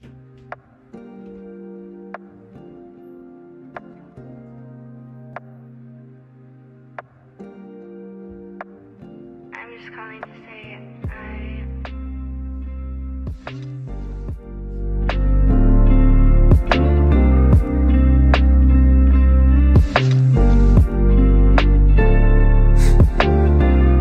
I'm just calling to say I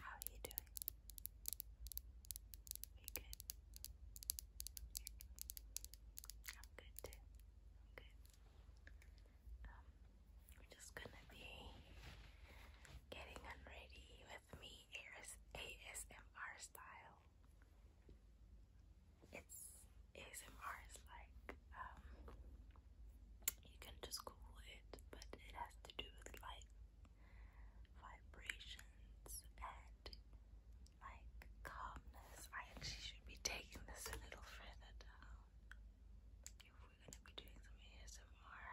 How are you doing? Are you good? I'm good too. I'm um, just gonna be getting unready with me AS ASMR style. It's ASMR is like um you can just Google it, but it has to do with like vibrations and like calmness. I actually should be taking this a little further down if we're gonna be doing some ASMR.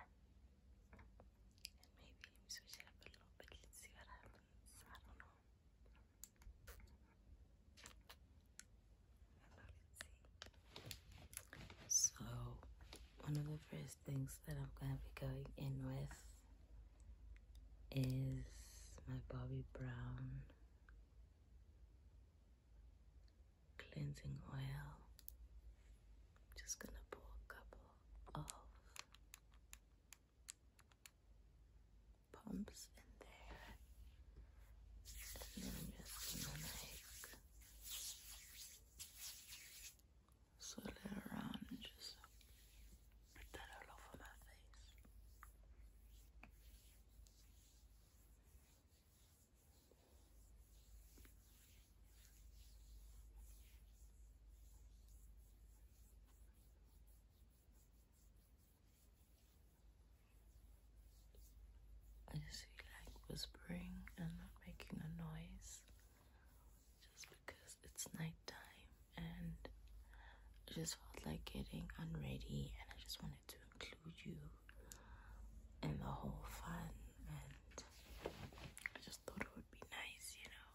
And maybe switch up a little bit. Let's see what happens. I don't know. So, one of the first things that I'm going to be going in with is my Bobbi Brown cleansing oil. I'm just going to pour a couple of pumps in there. And then I'm just going to make swirl it around and just put that all over my face. I just feel like whispering and not making a noise just because it's nighttime and I just felt like getting unready and I just wanted to include you in the whole fun and I just thought it would be nice, you know,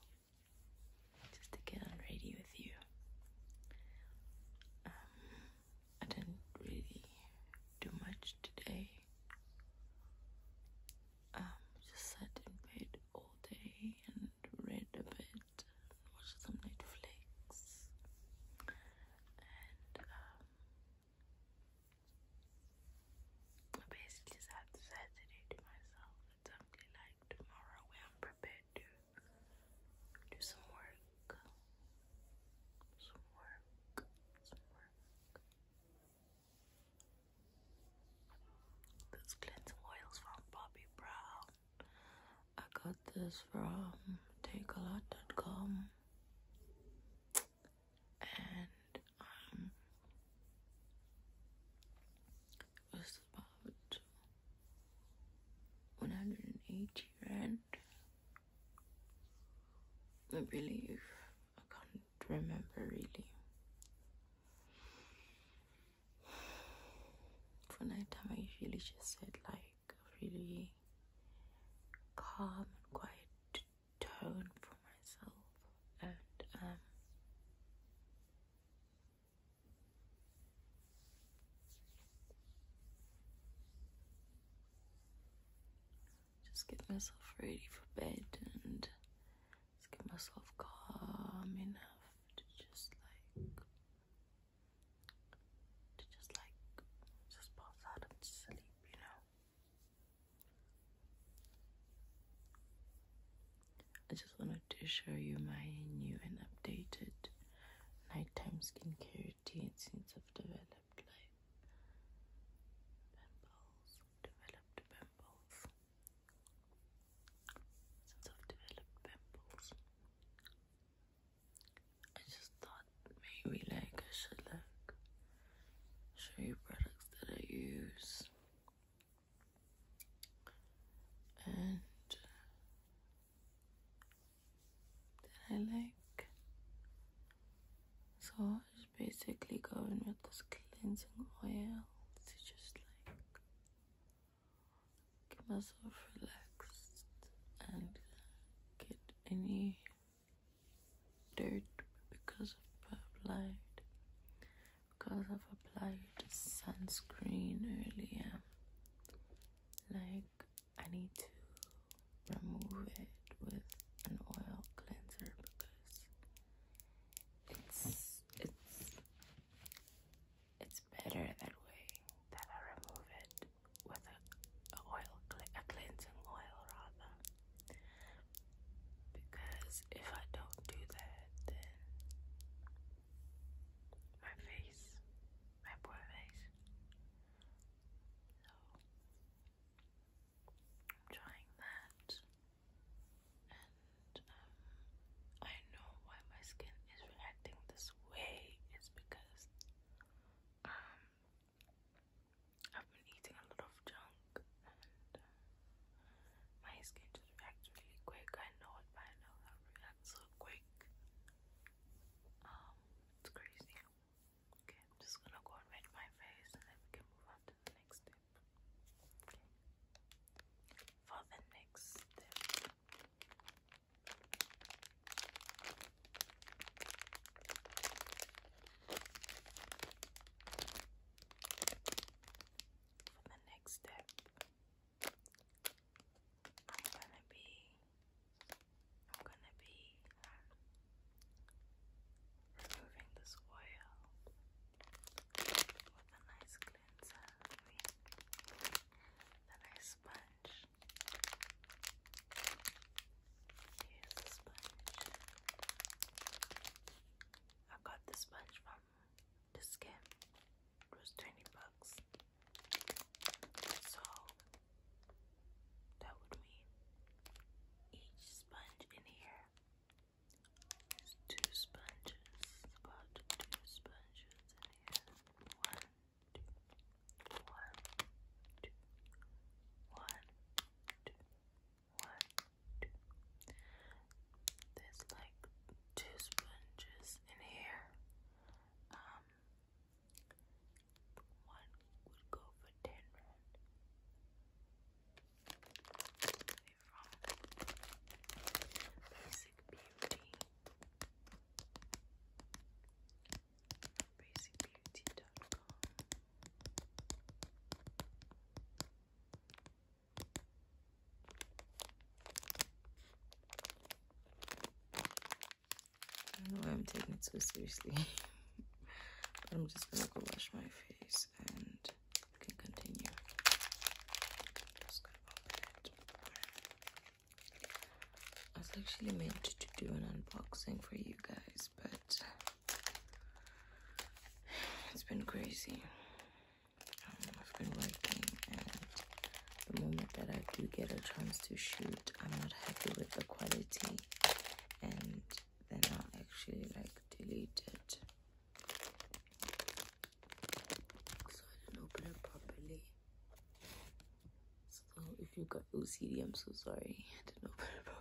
just to get unready with you. Um, I didn't really do much today um, just sat in bed all day and read a bit, and watched some Netflix, and um, I basically sat Saturday to myself. It's only like tomorrow where I'm prepared to do some work, some work, some work. This cleansing oils from Bobbi Brown. I got this from takealot.com and um it was about 180 rand. I believe I can't remember really for nighttime, I usually just set like a really calm and quiet tone for myself, and um, just get myself ready for bed and just get myself calm enough to just like to just like just pass out and sleep, you know. I just wanted to show you my new and updated nighttime skincare routine since I've developed like pimples, developed pimples since I've developed pimples. I just thought maybe like I should like show you products that I use and uh, that I like. So basically going with this cleansing oil to just like get myself relaxed and get any dirt because of have applied because I've applied sunscreen earlier like I need to remove it with an oil cleanser because it's it's it's better that way that I remove it with a, a oil a cleansing oil rather because if I don't do that then my face my boy face so I'm trying that and um, I know why my skin is reacting this way It's because um, I've been eating a lot of junk and uh, my skin just reacts really quick. I know it by now that reacts so quick. Um, it's crazy. just gonna go and wet my face and then we can move on to the next thing tip. Okay. For the next step, for the next step, I'm gonna be, I'm gonna be. Um, removing this oil with a nice cleanser, the nice sponge. Here's the sponge. I got the sponge from the scam. It was 20 bucks. So that would mean each sponge in here two sponges, about two sponges in here. One, two, one, two, one, two, one, two. There's like two sponges in here. Um, one would go for ten Here from Basic Beauty. I don't know why I'm taking it so seriously, I'm just gonna go wash my face and you can continue. i was actually meant to do an unboxing for you guys, but it's been crazy. Um, I've been working, and the moment that I do get a chance to shoot, I'm not happy with the quality, and they're not actually like deleted. So I didn't open it properly. So if you got OCD, I'm so sorry. I didn't open it properly.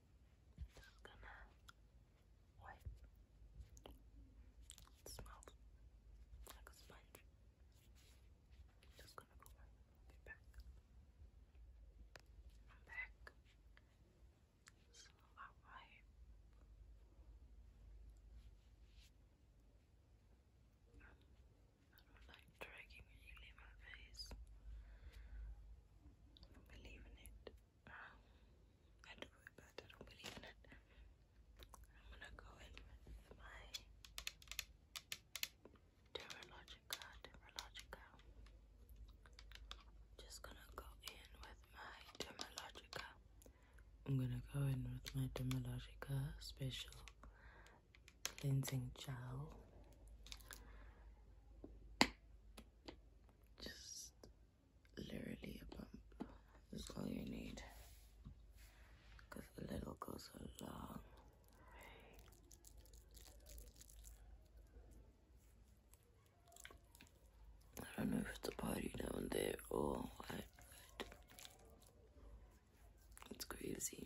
just gonna wipe. It like a sponge. just gonna go wipe. I'll back. I'm back. So I wipe. Um, I don't like dragging my face. I believe in it. Um, I do it, but I don't believe in it. I'm gonna go in with my Terralogica, Terralogica. just gonna go in with my Terralogica. I'm gonna go in with my Dermalogica Special Cleansing Gel just literally a bump That's all you need because a little goes a long I don't know if it's a party down there or what, but it's crazy.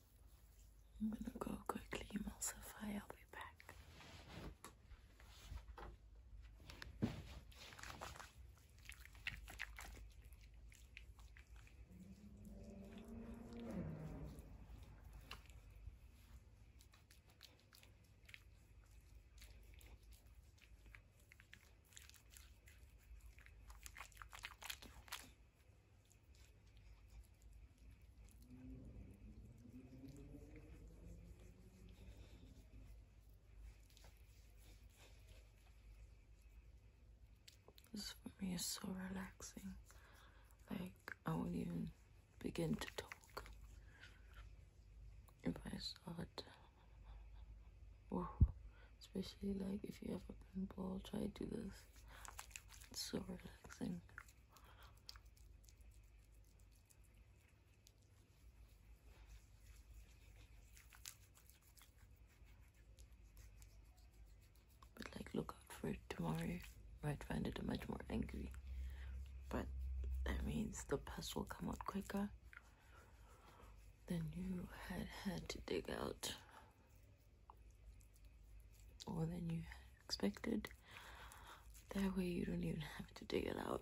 I'm gonna go quickly emulsify, I'll be back. This for me is so relaxing. Like, I will not even begin to talk if I start. Especially, like, if you have a pimple, try to do this. It's so relaxing. But like look out for it tomorrow. Might find it much more angry. But that means the pus will come out quicker than you had had to dig out. Or than you had expected. That way you don't even have to dig it out.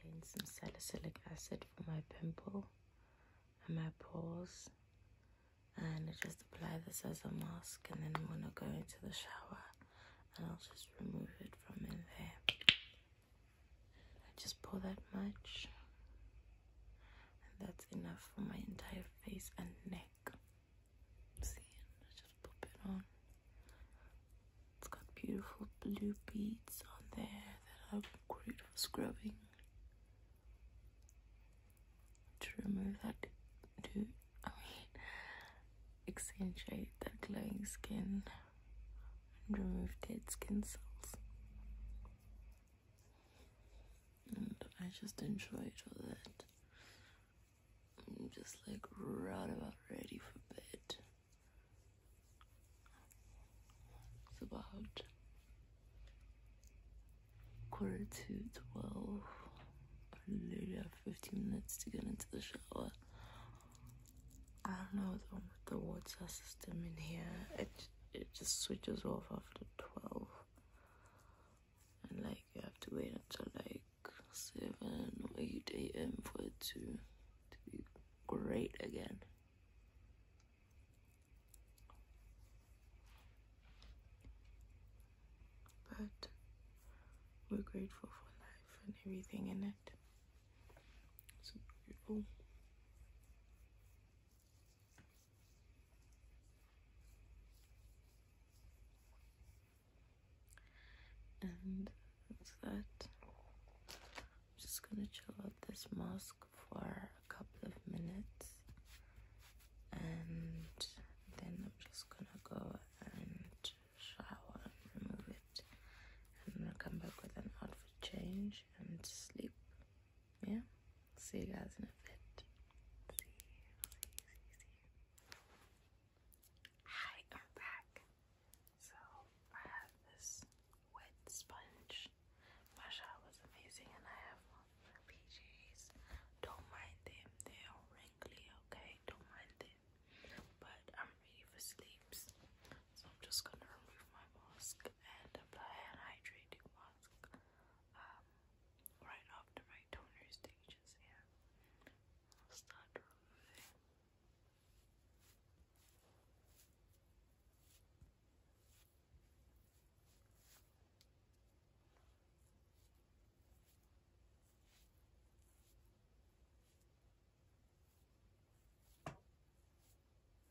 Contains some salicylic acid for my pimple and my pores. And I just apply this as a mask and then I'm going to go into the shower and I'll just remove it from in there. I just pour that much, and that's enough for my entire face and neck. See, I just pop it on. It's got beautiful blue beads on there that are great for scrubbing. To remove that, do I mean, accentuate that glowing skin and remove dead skin cells. And I just enjoy it all that. I'm just like right about ready for bed. It's about quarter to twelve. I literally have 15 minutes to get into the shower. I don't know what's the water system in here. It it just switches off after twelve, and like you have to wait until like seven or eight a.m. for it to to be great again. But we're grateful for life and everything in it. It's beautiful. And that's that. I'm just gonna chill out this mask for a couple of minutes and then I'm just gonna go and shower and remove it and I'm come back with an outfit change and sleep. Yeah? See you guys in a bit. Hi, I'm back. So, I have this wet sponge. My shot was amazing, and I have my PJs. Don't mind them, they're wrinkly, okay? Don't mind them. But I'm ready for sleeps. So I'm just gonna remove my mask and apply an hydrating mask um, right after my toner stages here. I'll start removing.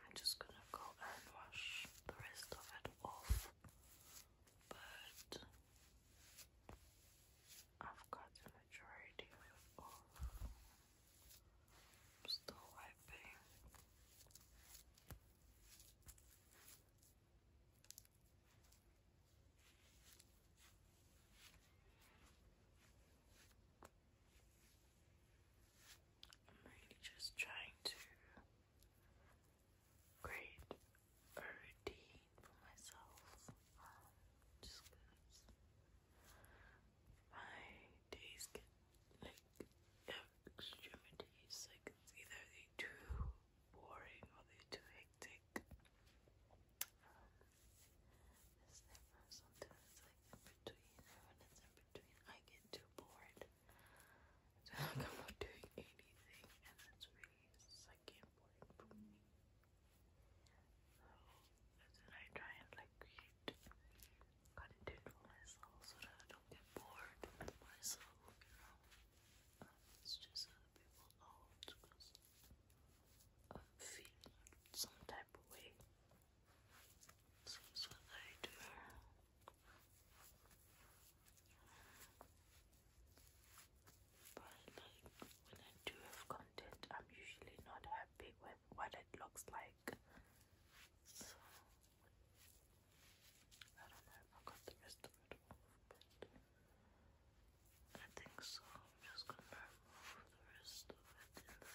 I'm just going to go and wash the rest of it off, but I've got majority of I'm still wiping. I'm really just trying to create routine for myself. just my days get like extremities. Like either they too boring or they too hectic. Um, sometimes like in between. when it's in between, I get too bored. I feel like i doing anything, and that's really sucking boring for me. So then I try and like create content for myself so that don't get bored myself, you know. Um, it's just so people know because I'm some type of way. So that's what I do. But like when I do have I'm usually not happy with what it looks like. So, I don't know if I got the rest of it but I think so. I'm just gonna remove the rest of it in the.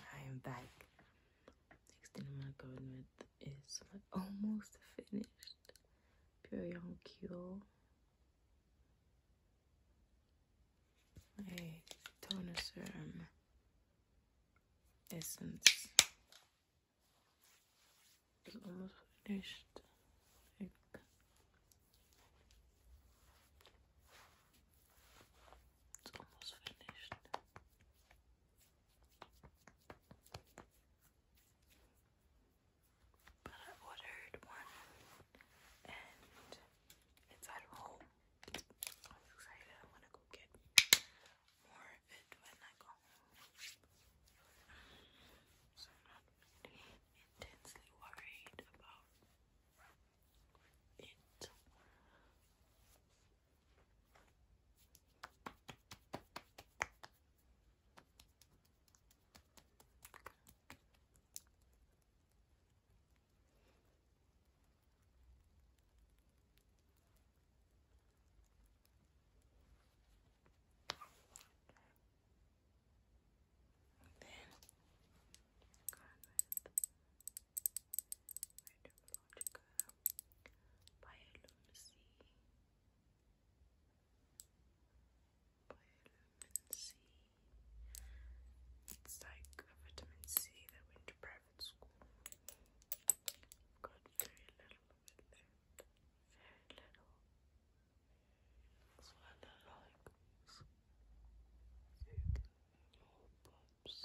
I am back. Next thing I'm gonna go in with is almost finished Pyeongkyo. A toner serum essence is almost finished. almost finished. But I ordered one and it's at home. I'm excited. I want to go get more of it when I go home. So I'm not intensely worried about it. Then gone with Meteorologica Bioluminescence It's like a vitamin C that we deprived at I've got very little left. Very little. So I don't like You can more my face.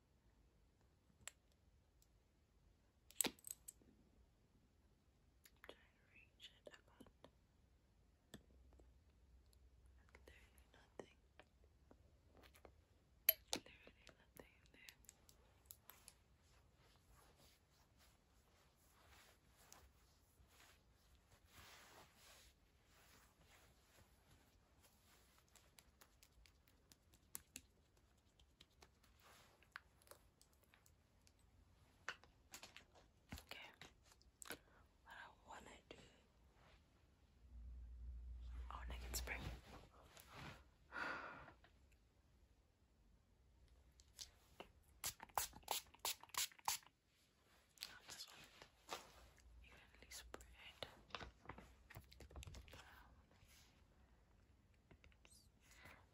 I'm trying to reach it. I can nothing. Literally nothing there. Okay, what I want to do, I oh, want to get spring. evenly spread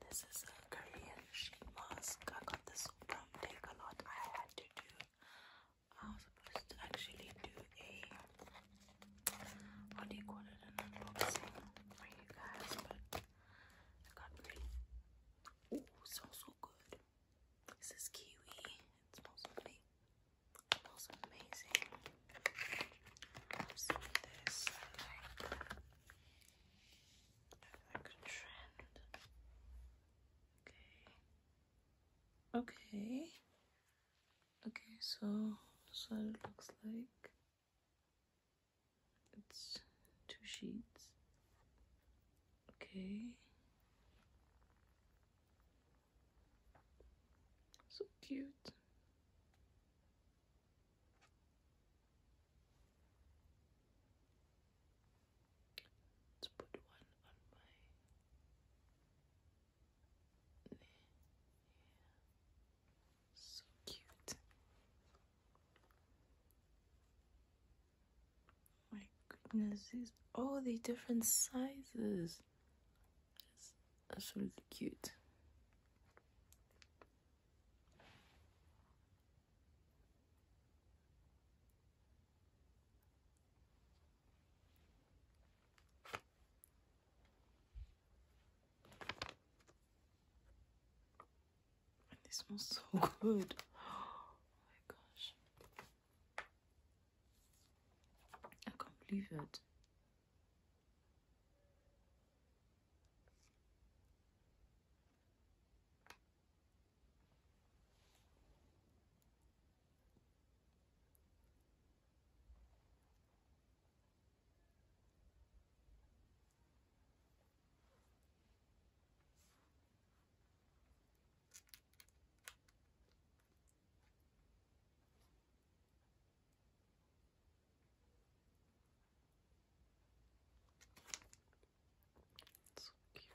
This is a Korean sheet mask. I got this from Take a Lot. I had to do. I was supposed to actually do a what unboxing for you guys, but I got really. Ooh, smells so good. This is kiwi. It smells amazing was amazing. i this like, like trend. Okay. Okay. Okay, so so it looks like it's two sheets. Okay. So cute. Let's put one on my So cute. My goodness, these all the different sizes. It's absolutely cute. This smells so good. Oh my gosh. I can't believe it. It's cute.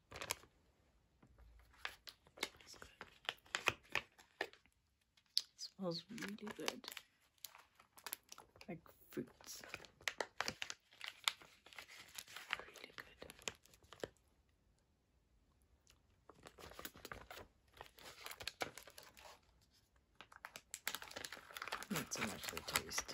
smells really good. Like fruits. Really good. Not so much the taste.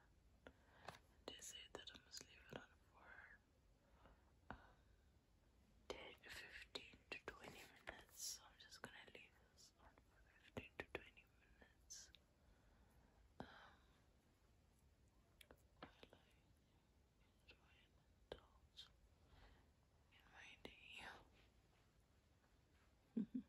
And they say that I must leave it on for um, 10 to 15 to 20 minutes. So I'm just gonna leave this on for 15 to 20 minutes. Um, while I enjoy and indulge in my day.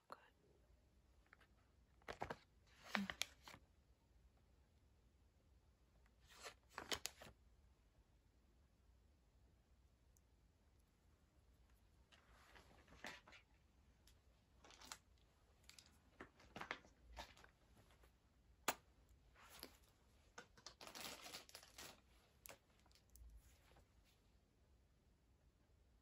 smells so good.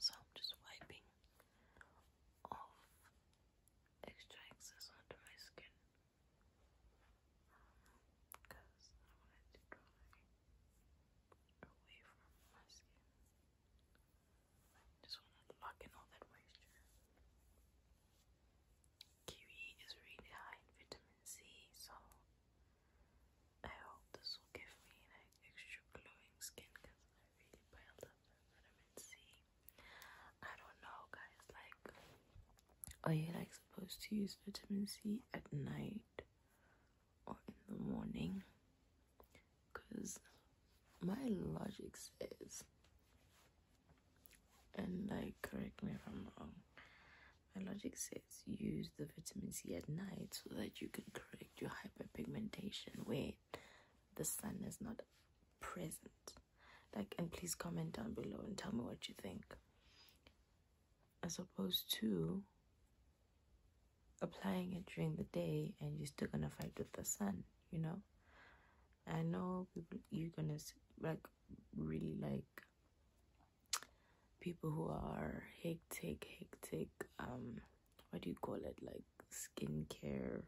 So I'm just wiping off extra excess onto my skin because I want to dry away from my skin. I just want to lock in all that moisture kiwi is really high in vitamin C, so I hope this will give me like extra glowing skin because I really piled up the vitamin C. I don't know, guys. Like, are you like supposed to use vitamin C at night or in the morning? Because my logic says and like correct me if i'm wrong my logic says use the vitamin c at night so that you can correct your hyperpigmentation where the sun is not present like and please comment down below and tell me what you think as opposed to applying it during the day and you're still gonna fight with the sun you know I know people you're gonna like really like people who are hectic, hectic, um, what do you call it? Like skincare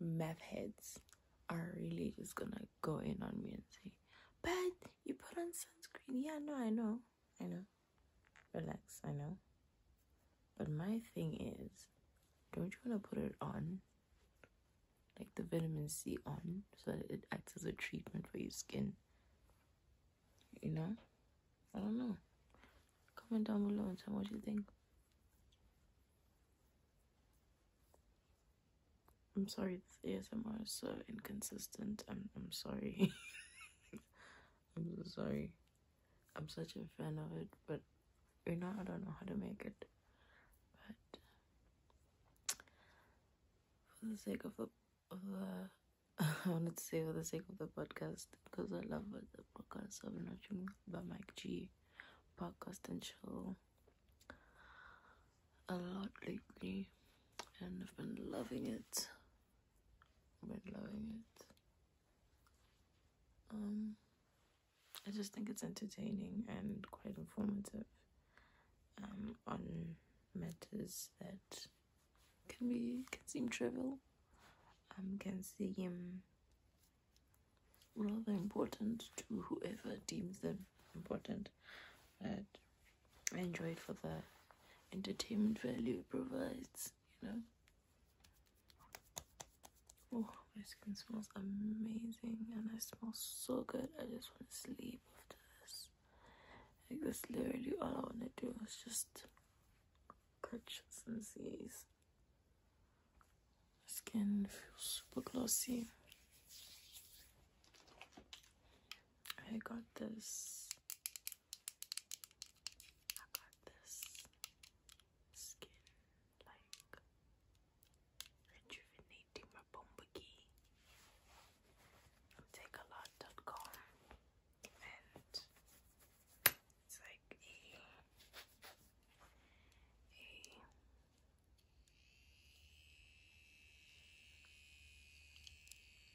meth heads are really just gonna go in on me and say, But you put on sunscreen. Yeah, no, I know, I know. Relax, I know. But my thing is, don't you want to put it on? Like the vitamin C on so that it acts as a treatment for your skin. You know? I don't know. Comment down below and tell me what you think. I'm sorry, this ASMR is so inconsistent. I'm I'm sorry. I'm sorry. I'm such a fan of it, but you know I don't know how to make it, but for the sake of the, I wanted to say for the sake of the podcast because I love the podcast of have been by Mike G podcast and show a lot lately and I've been loving it. I've been loving it. Um I just think it's entertaining and quite informative um, on matters that can be can seem trivial, um, can seem rather important to whoever deems them important. But I enjoy it for the entertainment value it provides, you know. Oh, my skin smells amazing and I smell so good. I just want to sleep after this. Like, that's literally all I want to do is just purchase and seize. Skin feels super glossy. I got this. I got this skin like rejuvenating my bombaki. Take a lot.com and it's like a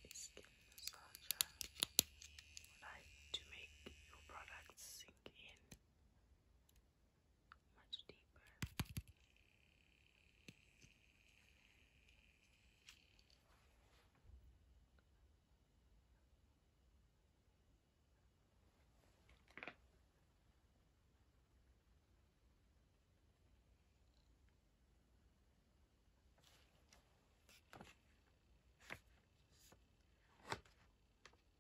a skin massager like to make your products sink in much deeper. Hold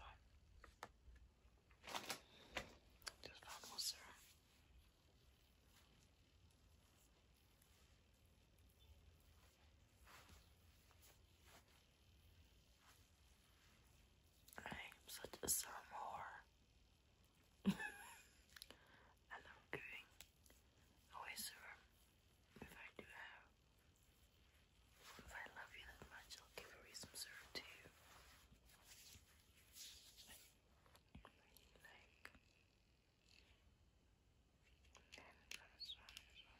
on. Just more I am such a syrup I love going away serum. If I do have, if I love you that much, I'll give away some serum to you. Like, and that's one as well.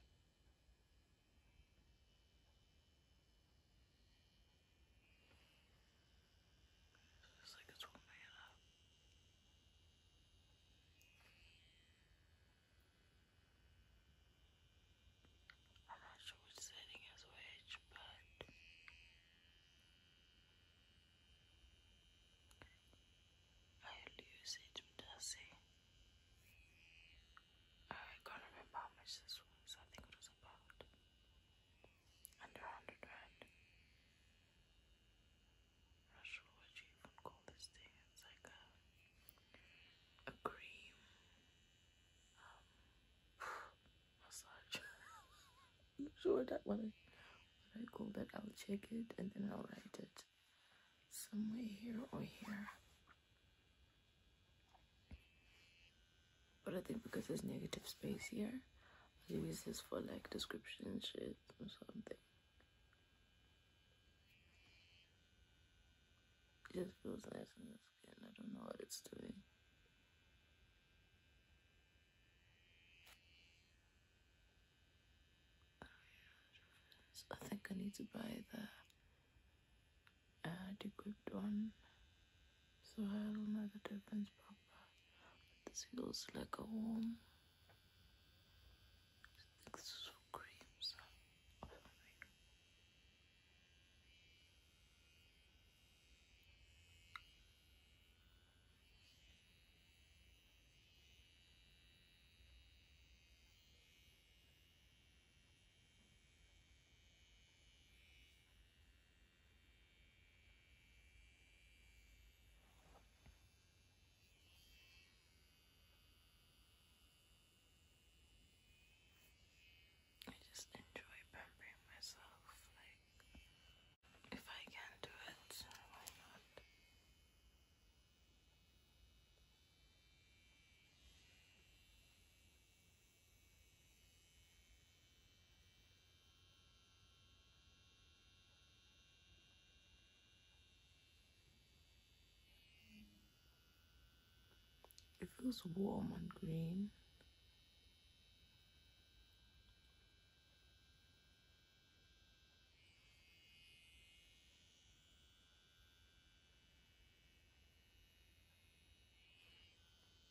It's like it's one man I'm not sure which setting is which, but I'll it to see. I can't remember how much this was. I think it was about under 100 rand. Russian, what you even call this thing? It's like a, a cream um, massage. I'm not sure that one is. What I call that, I'll check it and then I'll write it somewhere here or here. But I think because there's negative space here, I'll use this for like description shit or something. It just feels nice in the skin. I don't know what it's doing. I think I need to buy the uh, one. So I don't know the difference But this feels like a warm. This is for I just enjoy pampering myself, like, if I can do it, why not? It feels warm and green.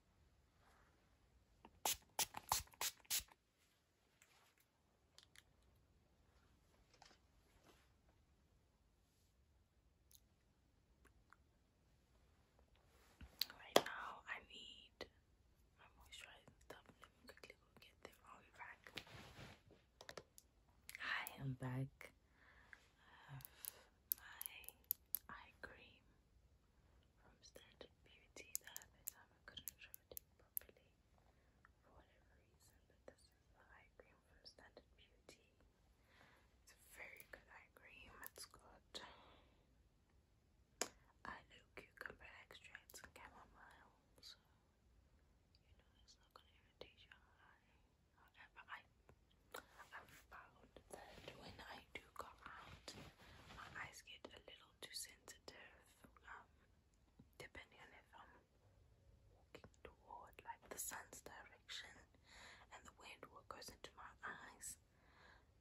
Right now, I need my stuff. Let me quickly go get them. i back. Hi, I'm back. I have my eye cream from standard beauty. The other time I couldn't show properly for whatever reason, but this is the eye cream from standard beauty. It's a very good eye cream. It's got I cucumber extracts and chamomile, so you know it's not gonna irritate your eye. However, I i found that when I do go out, my eyes get a little too sensitive. Um, depending on if I'm walking toward like the sun's direction and the wind what goes into my eyes,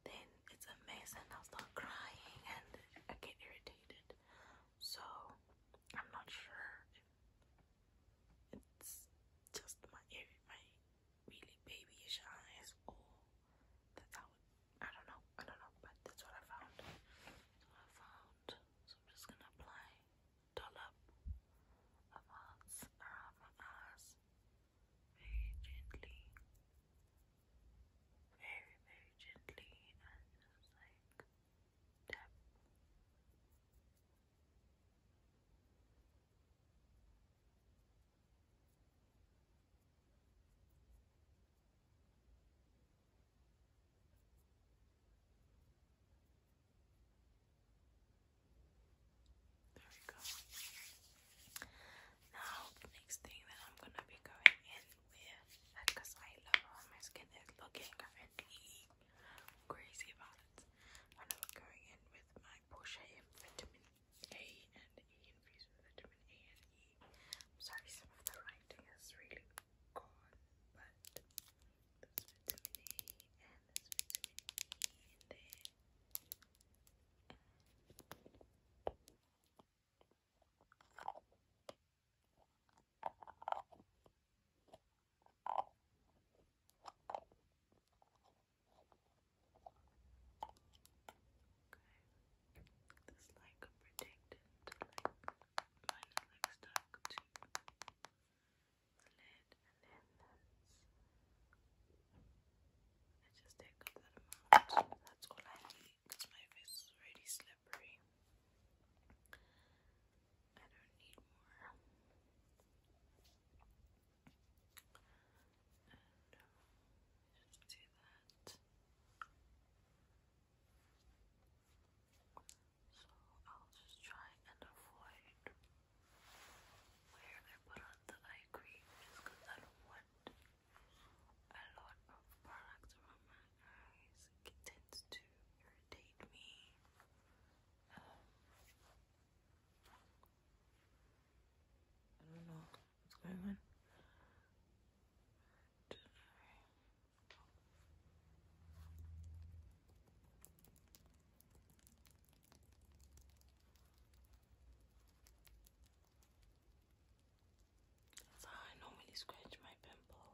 then it's amazing. I'll start crying and I get irritated. So I'm not sure if it's just my my really babyish eyes or that that I don't know, I don't know, but that's what I found. I found so I'm just gonna apply dollop of arts around my eyes very gently. Very, very gently and just like tap. There we go. Now, next thing that I'm gonna be going in with, because I love how my skin is looking currently crazy about I'm not going in with my Porsche Vitamin a and E infused with vitamin A and E. sorry, some of the writing is really gone, but there's vitamin A and there's vitamin E in there. Okay. This like a protectant, like mine stuck the lid, and then that's. I just take up that amount. That's all I need because my face is already slippery. I don't need more. Just do that. So I'll just try and avoid where they put on the eye cream just because I don't want a lot of product around my eyes. It tends to irritate me. I don't know what's going on. That's scratch my pimple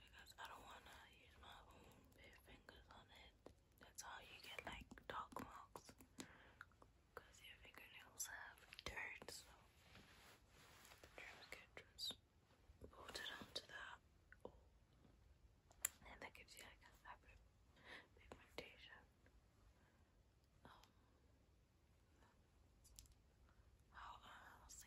because I don't want to use my own bare fingers on it. That's how you get like dark marks because your fingernails have dirt, so the germs get just bolted onto that. And that gives you like a fabric pigmentation. Um, how uh, else?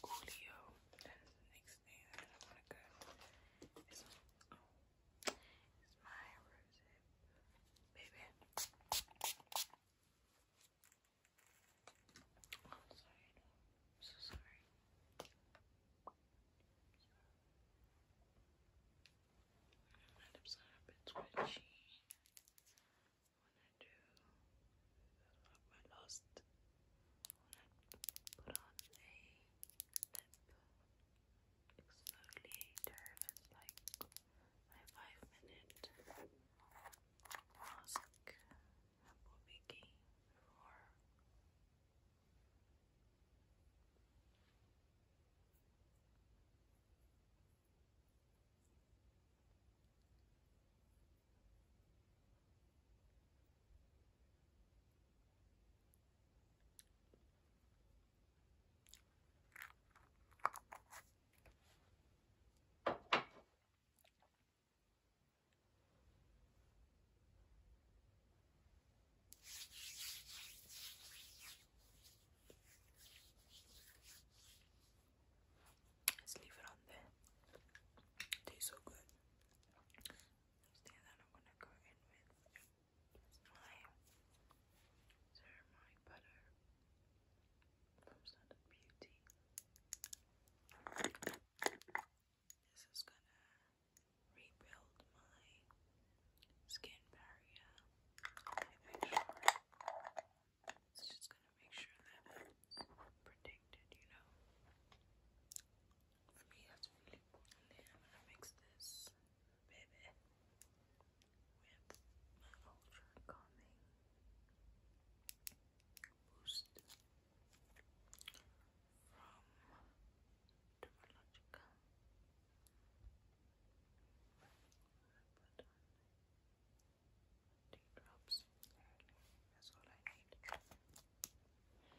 Coolio. That's the next thing that I want to go. This one. Oh. It's my rosehip, baby. Oh, I'm sorry, I'm so sorry. My lips are a bit squishy. When I my last, when I put on a lip exfoliator that's like five minute mask will be Let's leave it on there. tastes so good. Next that I'm gonna go in with my butter from Standard Beauty. This is gonna rebuild my skin barrier. it's just gonna make sure that protected, you know. For me, that's really important. I'm gonna mix this baby. With my ultra calming boost from Dermalogica. Put That's all I need.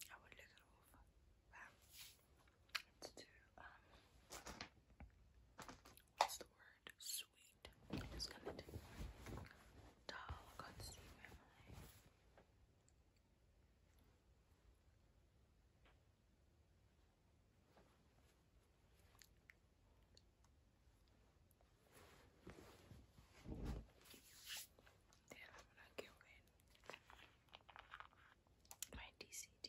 then I will lick it off. Wow. To do, um, what's the word? Sweet. I'm just gonna do doll. Then i gonna go in my DCD.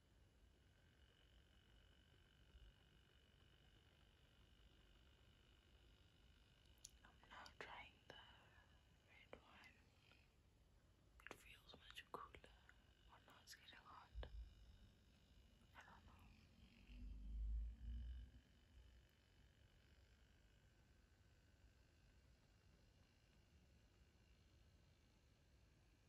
I'm now trying the red one. It feels much cooler. Oh no, it's getting hot. I don't know.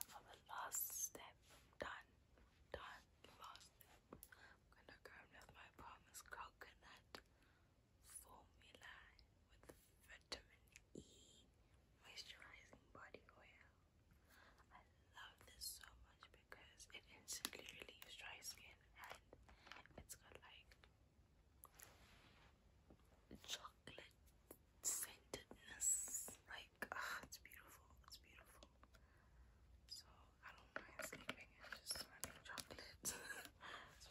For the last step, I'm done done fasting. I'm gonna go with my promise coconut formula with vitamin E moisturizing body oil. I love this so much because it instantly relieves dry skin and it's got like chocolate scentedness. Like, ah, it's beautiful, it's beautiful. So I don't mind sleeping in just so chocolates.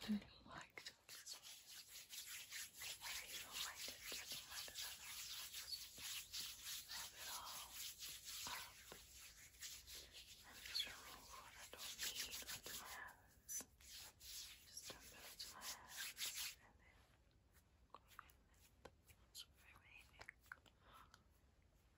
I don't like chocolate I don't mind it. I do Wrap it all up and just remove what I don't need onto my hands. Just dump it onto my hands and then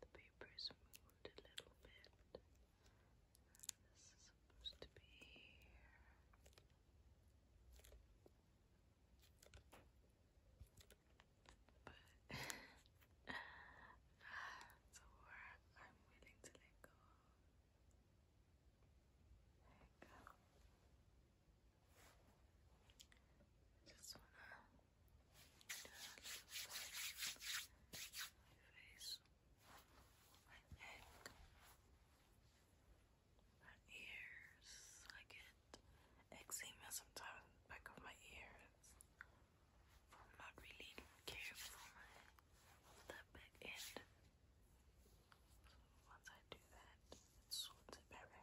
The papers moved a little bit. This is supposed to be here. But that's a I'm willing to let go. There go. Just wanna do a little face, my neck, my ears. I get eczema sometimes back of my ears. I'm not really careful with that back end. So once I do that, it sorts it better.